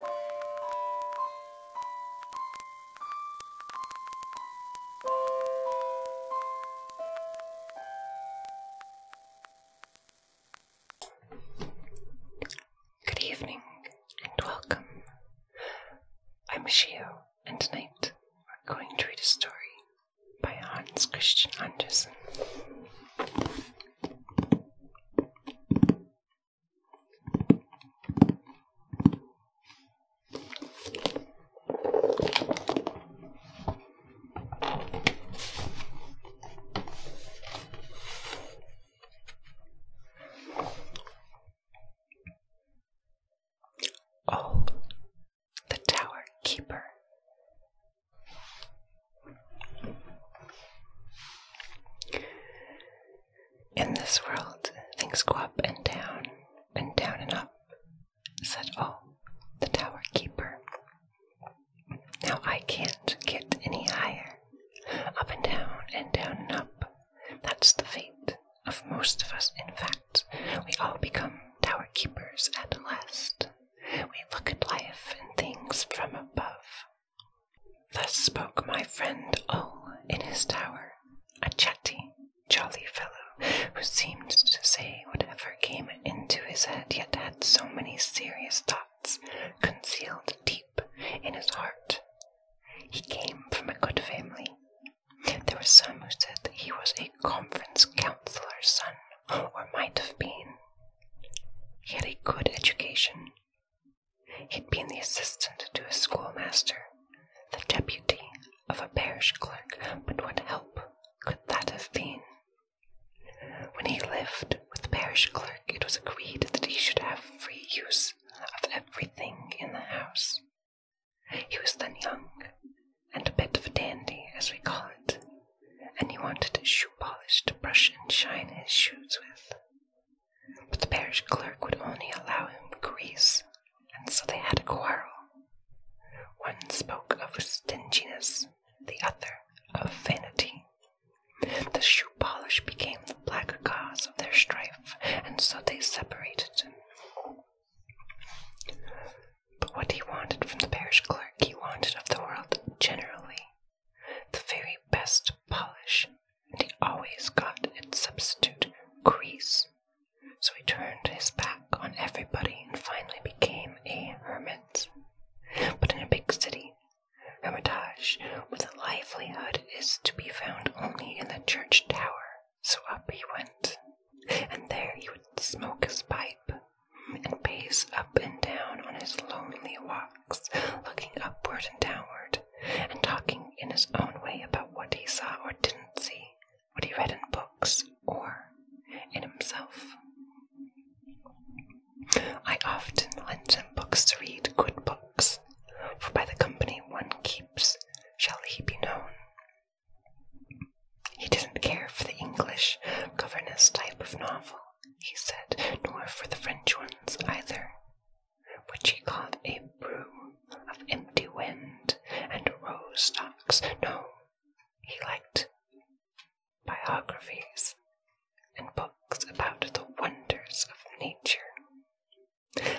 Good evening and welcome. I'm Shio, and tonight we're going to read a story by Hans Christian Andersen. Oh, the Tower Keeper. In this world, things go up and down, and down and up, said all oh, the tower keeper. Now I can't get any higher. Up and down, and down and up. That's the fate of most of us, in fact. We all become tower keepers at last. We look at life and things from above, Thus spoke my friend O oh, in his tower, a jolly, jolly fellow who seemed to say whatever came into his head, yet had so many serious thoughts concealed deep in his heart. He came from a good family. There were some who said that he was a conference councillor's son, or might have been. He had a good education, He'd been the assistant to a schoolmaster, the deputy of a parish clerk, but what help could that have been? When he lived with the parish clerk, it was agreed that he should have free use of everything in the house. He was then young, and a bit of a dandy, as we call it, and he wanted shoe polish to brush and shine his shoes with but the parish clerk would only allow him grease, and so they had a quarrel. One spoke of stinginess, the other of vanity. The shoe polish became the black cause of their strife, and so they separated. But what he wanted from the parish clerk, he wanted of the world generally the very best polish and he always got its substitute, Grease. So he turned his back on everybody and finally became a hermit. But in a big city, hermitage with a livelihood is to be found only in the church tower. So up he went, and there he would smoke his pipe and pace up and down on his lonely walks, looking upward and downward and talking in his own way about what he saw or didn't see, what he read in books or in himself. I often lent him books to read, good books, for by the company one keeps shall he be known. He didn't care for the English governess type of novel, he said, nor for the French ones either which he called a brew of empty wind and rose stalks. No, he liked biographies and books about the wonders of nature.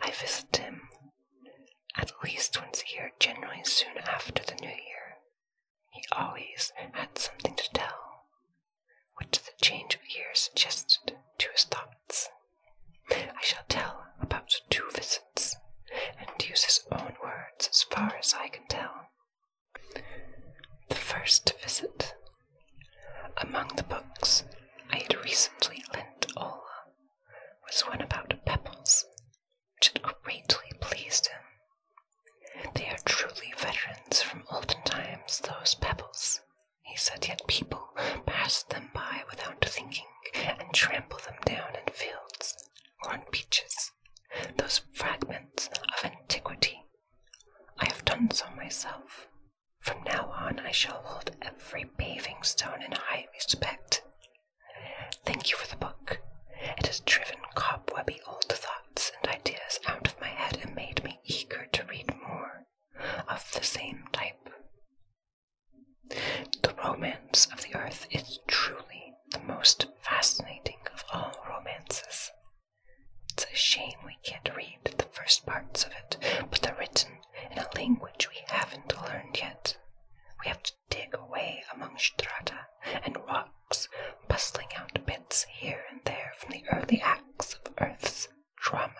I visit him at least once a year, generally soon after the new year. He always had something to tell, what the change of year suggested to his thoughts. I shall tell about two visits, and use his own words as far as I can tell. The first visit. Among the books I had recently lent Ola was one about pebbles, which had greatly pleased him. They are truly veterans from olden times, those pebbles, he said, yet people passed them by without thinking and trampled them down in fields or on beaches, those fragments of antiquity. I have done so myself. From now on, I shall hold every paving stone in high respect. Thank you for the book. It has driven cobwebby old thoughts and ideas out of my head and made me eager to read more of the same type. The romance of the earth is truly the most fascinating of all romances. It's a shame we can't read the first parts of it, but they're written in a language we haven't learned yet. We have to dig away among strata and rocks, busting out bits here and there from the early acts of Earth's drama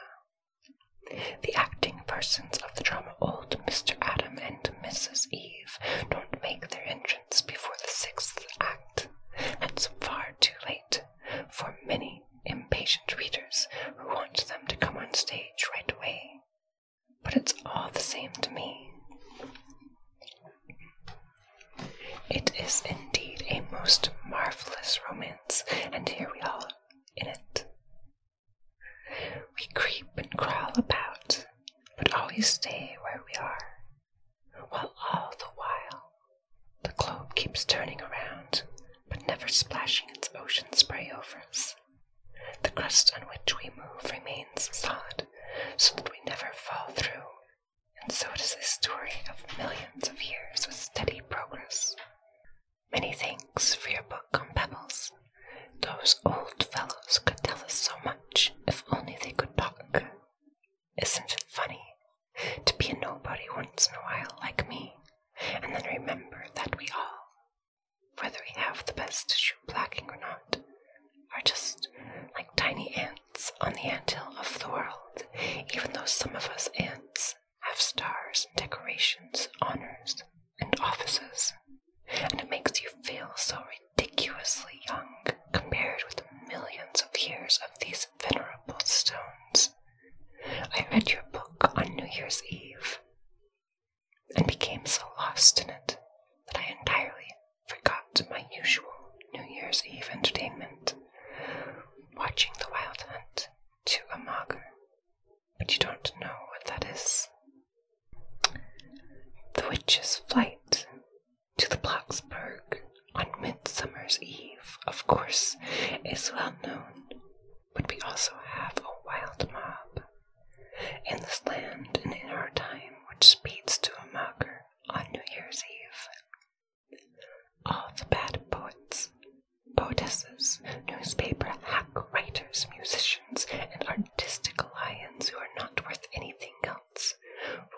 the acting persons of the drama Old Mr. Adam and Mrs. Eve don't make their entrance before the sixth act. That's far too late for many impatient readers who want them to come on stage right away. But it's all the same to me. It is indeed a most marvelous romance, and here we are in it. We creep and crawl about, but always stay where we are, while all the while the globe keeps turning around, but never splashing its ocean spray over us. The crust on which we move remains solid, so that we never fall through, and so does a story of millions of years with steady progress. Many thanks for your book on pebbles. Those old fellows could tell us so much if only they could talk. Isn't it funny to be a nobody once in a while like me, and then remember that we all, whether we have the best shoe blacking or not, are just like tiny ants on the anthill of the world, even though some of us ants have stars, decorations, honors, and offices, and it makes you feel so ridiculously young compared with millions of years of these venerable stones. I read your book on New Year's Eve and became so lost in it that I entirely forgot my usual New Year's Eve entertainment watching The Wild Hunt to Amager but you don't know what that is. The witch's flight to the Blocksburg on Midsummer's Eve, of course, is well known, but we also have a wild mob in this land and in our time which speeds to a mocker on New Year's Eve. All the bad poets poetesses, newspaper hack writers, musicians, and artistic lions who are not worth anything else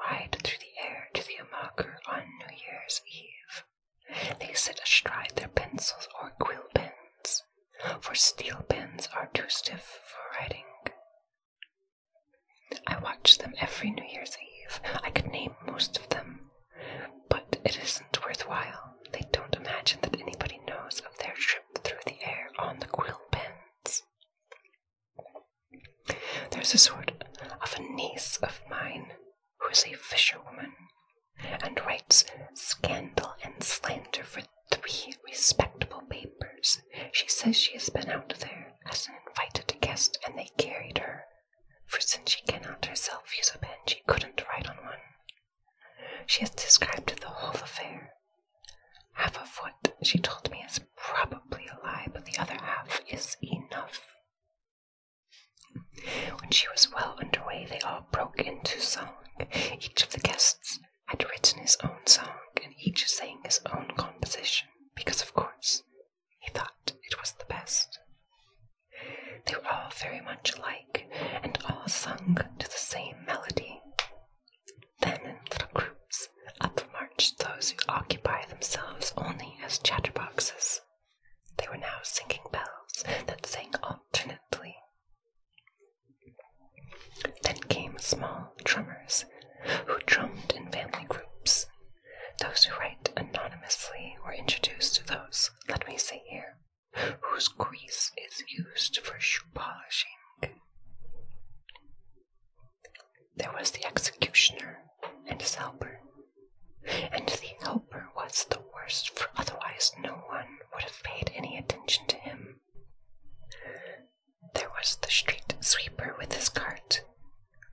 ride through the air to the Amaker on New Year's Eve. They sit astride their pencils or quill pens, for steel pens are too stiff for writing. I watch them every New Year's Eve. I could name most of them, but it isn't worthwhile. They don't imagine that anybody knows of their trip through the air on the quill pens. There's a sort of a niece of mine who is a fisherwoman and writes scandal and slander for three respectable papers. She says she has been out there as an invited guest and they carried her, for since she cannot herself use a pen, she couldn't write on one. She has described the whole affair. Half a foot, she told me is probably a lie, but the other half is enough. When she was well under way, they all broke into song. Each of the guests had written his own song, and each sang his own composition, because, of course, he thought it was the best. They were all very much alike, and all sung to the same melody. Then, in little groups, up marched those who occupy themselves only as chatterboxes. They were now singing bells that sang alternately. Then came small drummers who drummed in family groups. Those who write anonymously were introduced to those, let me say here, whose grease is used for shoe polishing. There was the executioner and his helper, and the helper was the worst, for otherwise no one would have paid any attention to him. There was the street sweeper with his cart,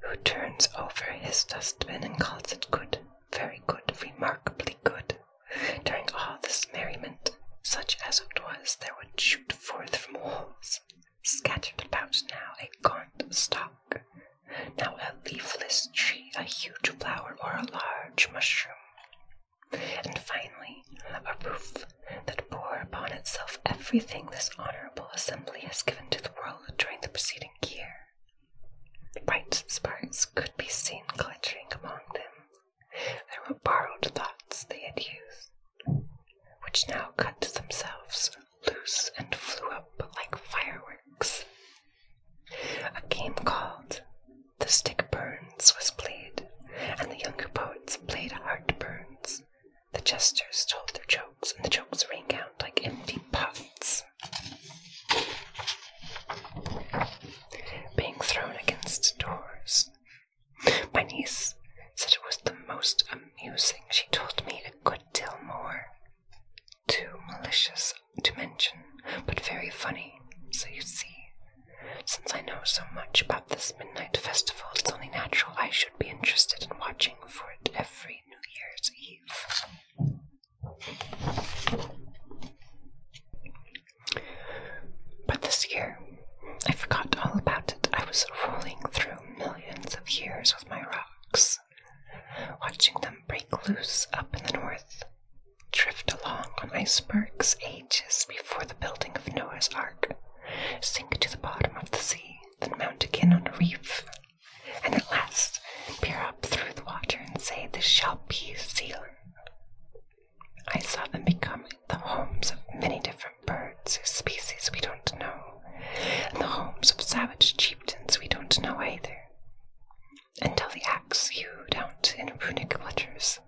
who turns over his dustbin and calls it good, very good, remarkably good. During all this merriment, such as it was, there would shoot forth from walls, scattered about now a gaunt stalk, now a leafless tree, a huge flower, or a large mushroom, and finally a roof that bore upon itself everything this honorable assembly has given to the world during the preceding year. Bright sparks could be seen glittering among them. They were borrowed thoughts they had used, which now cut themselves loose and flew up like fireworks. A game called The Stick Burns was played, and the younger poets played Heart Burns. The jesters told their jokes, and the jokes rang out like empty pots being thrown against doors. My niece said it was the most amusing. She told me a good deal more. Too malicious to mention, but very funny. So you see, since I know so much about this midnight festival, it's only natural I should be interested in watching for it every New Year's Eve. But this year, I forgot all about it. I was rolling through millions of years with my rocks, watching them break loose up in the north, drift along on icebergs ages before the building of Noah's Ark, sink to the bottom of the sea, then mount again on a reef, and at last peer up through the water and say, This shall be Zealand. I saw them become the homes of many different birds whose species we don't know, and the homes of savage chieftains we don't know either, until the axe hewed out in runic letters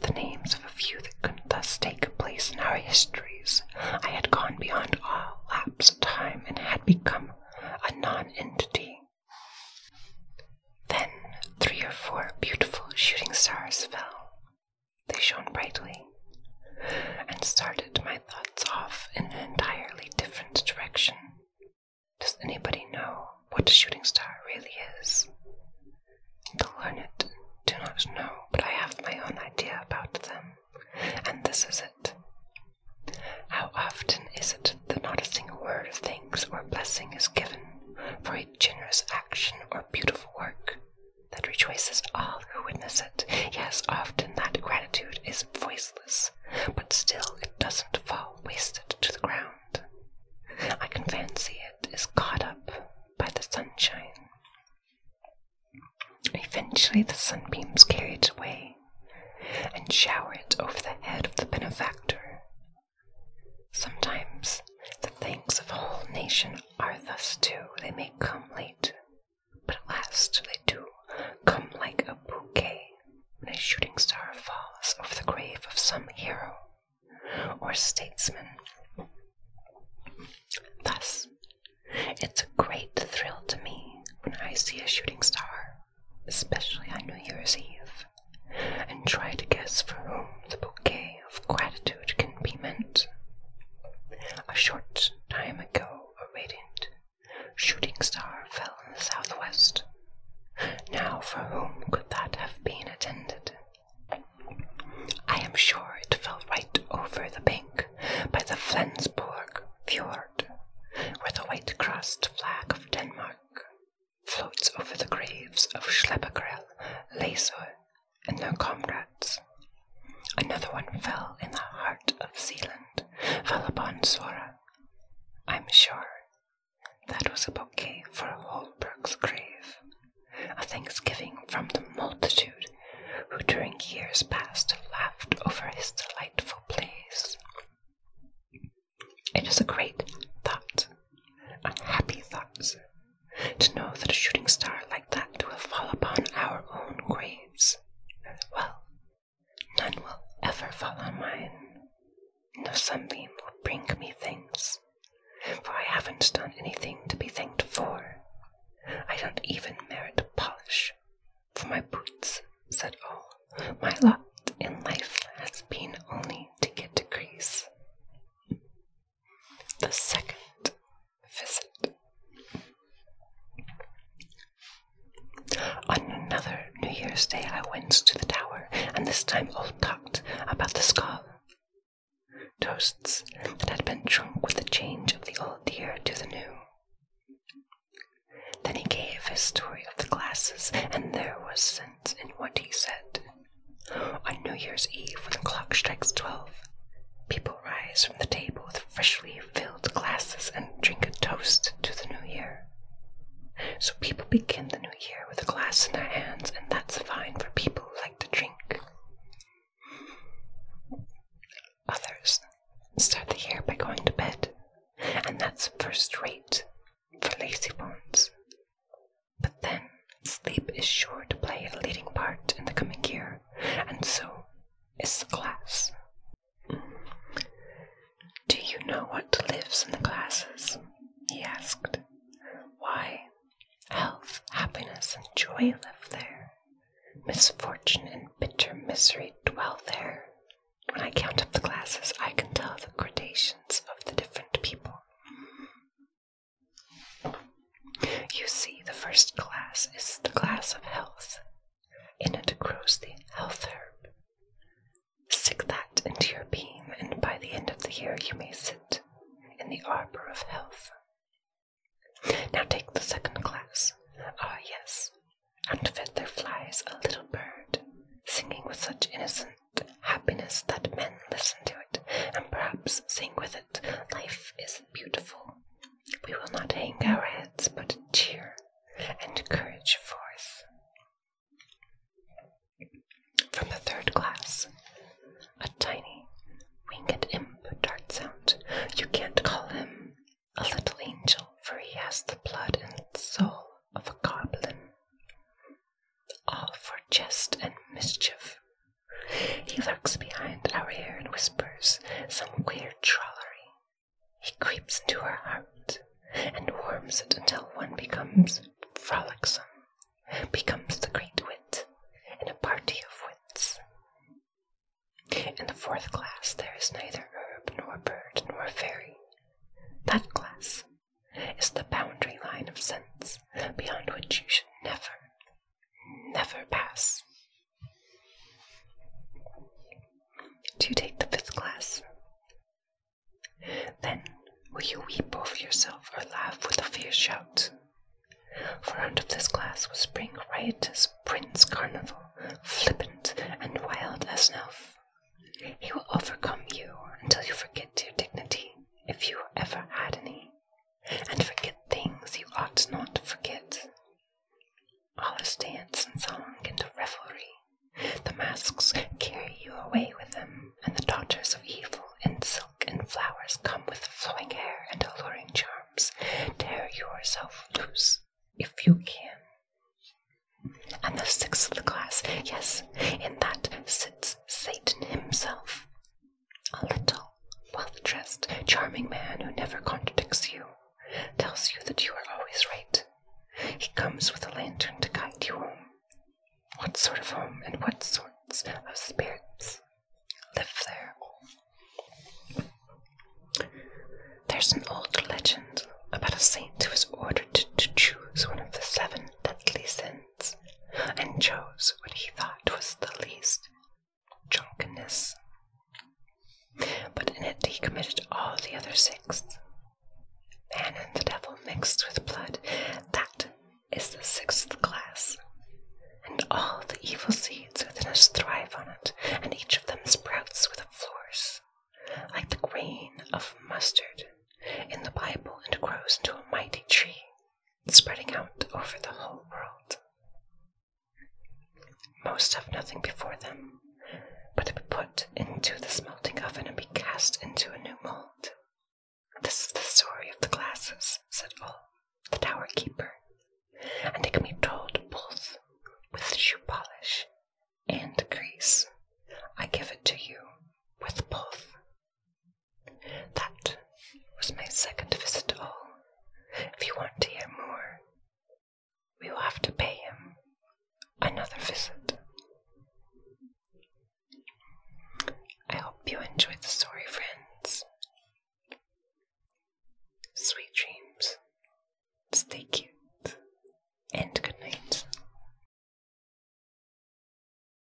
the names of a few that could thus take place in our histories. I had gone beyond all lapse of time and had become a non entity. Then three or four beautiful shooting stars fell. They shone brightly and started my thoughts off in an entirely different direction. Does anybody know what a shooting star really is? The learned do not know, but I have my own idea about them, and this is it. How often is it that not a single word of thanks or blessing is given for a generous action or beautiful work that rejoices all who witness it. Yes, often that gratitude is voiceless, but still it doesn't fall wasted to the ground. I can fancy it is caught up by the sunshine. Eventually, the sunbeams carry it away and shower it over the head of the benefactor Sometimes the thanks of a whole nation are thus too, they may come late, but at last they do come like a bouquet when a shooting star falls over the grave of some hero or statesman. Thus, it's a great thrill to me when I see a shooting star, especially on New Year's Eve and try to guess for whom the bouquet of gratitude can be meant. A short time ago, a radiant shooting star fell in the southwest. Now, for whom could that have been attended? I am sure it fell right over the bank by the Flensborg fjord, where the white-crossed flag of Denmark floats over the graves of Schleppergrill, Laser, and their comrades. Another one fell in the heart of Zealand, fell upon Sora. I'm sure that was a bouquet for Holbrook's grave, a thanksgiving from the multitude who during years past laughed over his delightful plays. It is a great thought, a happy thought, to know that a shooting star like that will fall upon our own graves. Well, none will ever fall on mine. No sunbeam will bring me things, for I haven't done anything to be thanked for. I don't even merit polish, for my boots, said all. My lot in life has been only to get to Greece. The second visit. On another New Year's Day, I went to the tower, and this time all talked about the skull. Toasts that had been drunk with the change of the old year to the new. Then he gave his story of the glasses, and there was sense in what he said. On New Year's Eve, when the clock strikes twelve, people rise from the table with freshly filled glasses and drink a toast to the new year. So people begin the new year with a glass in their hands, and that's fine for people who like to drink. Others start the year by going to bed, and that's first rate for lazy ones. But then, sleep is sure to play a leading part in the coming year, and so is the class. Mm. Do you know what lives in the classes? he asked. Why, health, happiness, and joy live there. Misfortune and bitter misery dwell there. When I count up the classes, I can tell the gradations of the different people. You see, the first class is the class of health. In it grows the health herb. Stick that into your beam, and by the end of the year you may sit in the arbor of health. Now take the second class. Ah, yes. Out of it there flies a little bird, singing with such innocent happiness that men listen to it and perhaps sing with it. Life is beautiful. We will not hang our heads, but cheer and courage forth. From the third class, a tiny winged imp darts out. You can't call him a little angel, for he has the blood and soul of a goblin all for jest and mischief. He lurks behind our ear and whispers some queer drollery. He creeps into our heart and warms it until one becomes frolicsome, becomes the great wit in a party of wits. In the fourth class, there is neither herb nor bird nor fairy. That class is the boundary line of sense beyond which you should never, never pass. Do you take the fifth class? Then will you weep over yourself or laugh with a fierce shout? For out of this class will spring riotous Prince Carnival, flippant and wild as an elf. He will overcome you until you forget your dignity if you ever had any, and forget things you ought not to forget. Allah's dance and song and revelry. The masks carry you away with them, and the daughters of evil in silk and flowers come with flowing hair and alluring charms. Tear yourself loose if you can. And the sixth of the class, yes, in that sits Satan himself. A little, well dressed, charming man who never contradicts you, tells you that you are always right. He comes with a lantern to guide you home. What sort of home and what sorts of spirits live there? There's an old legend about a saint who was ordered to choose one of the seven deadly sins and chose what he thought was the least drunkenness. But in it he committed all the other six. Man and the devil mixed with blood, that is the sixth class. And all the evil seeds within us thrive on it, and each of them sprouts with a force, like the grain of mustard in the Bible, and grows into a mighty tree spreading out over the whole world. Most have nothing before them, but to be put into the smelting oven and be cast into a new mold. This is the story of the glasses, said Ol, the tower keeper, and it can be told both with shoe polish and grease. I give it to you with both. That was my second visit all. If you want to hear more, we will have to pay him another visit. I hope you enjoyed the story, friends. Sweet dreams. Stay cute. And good night.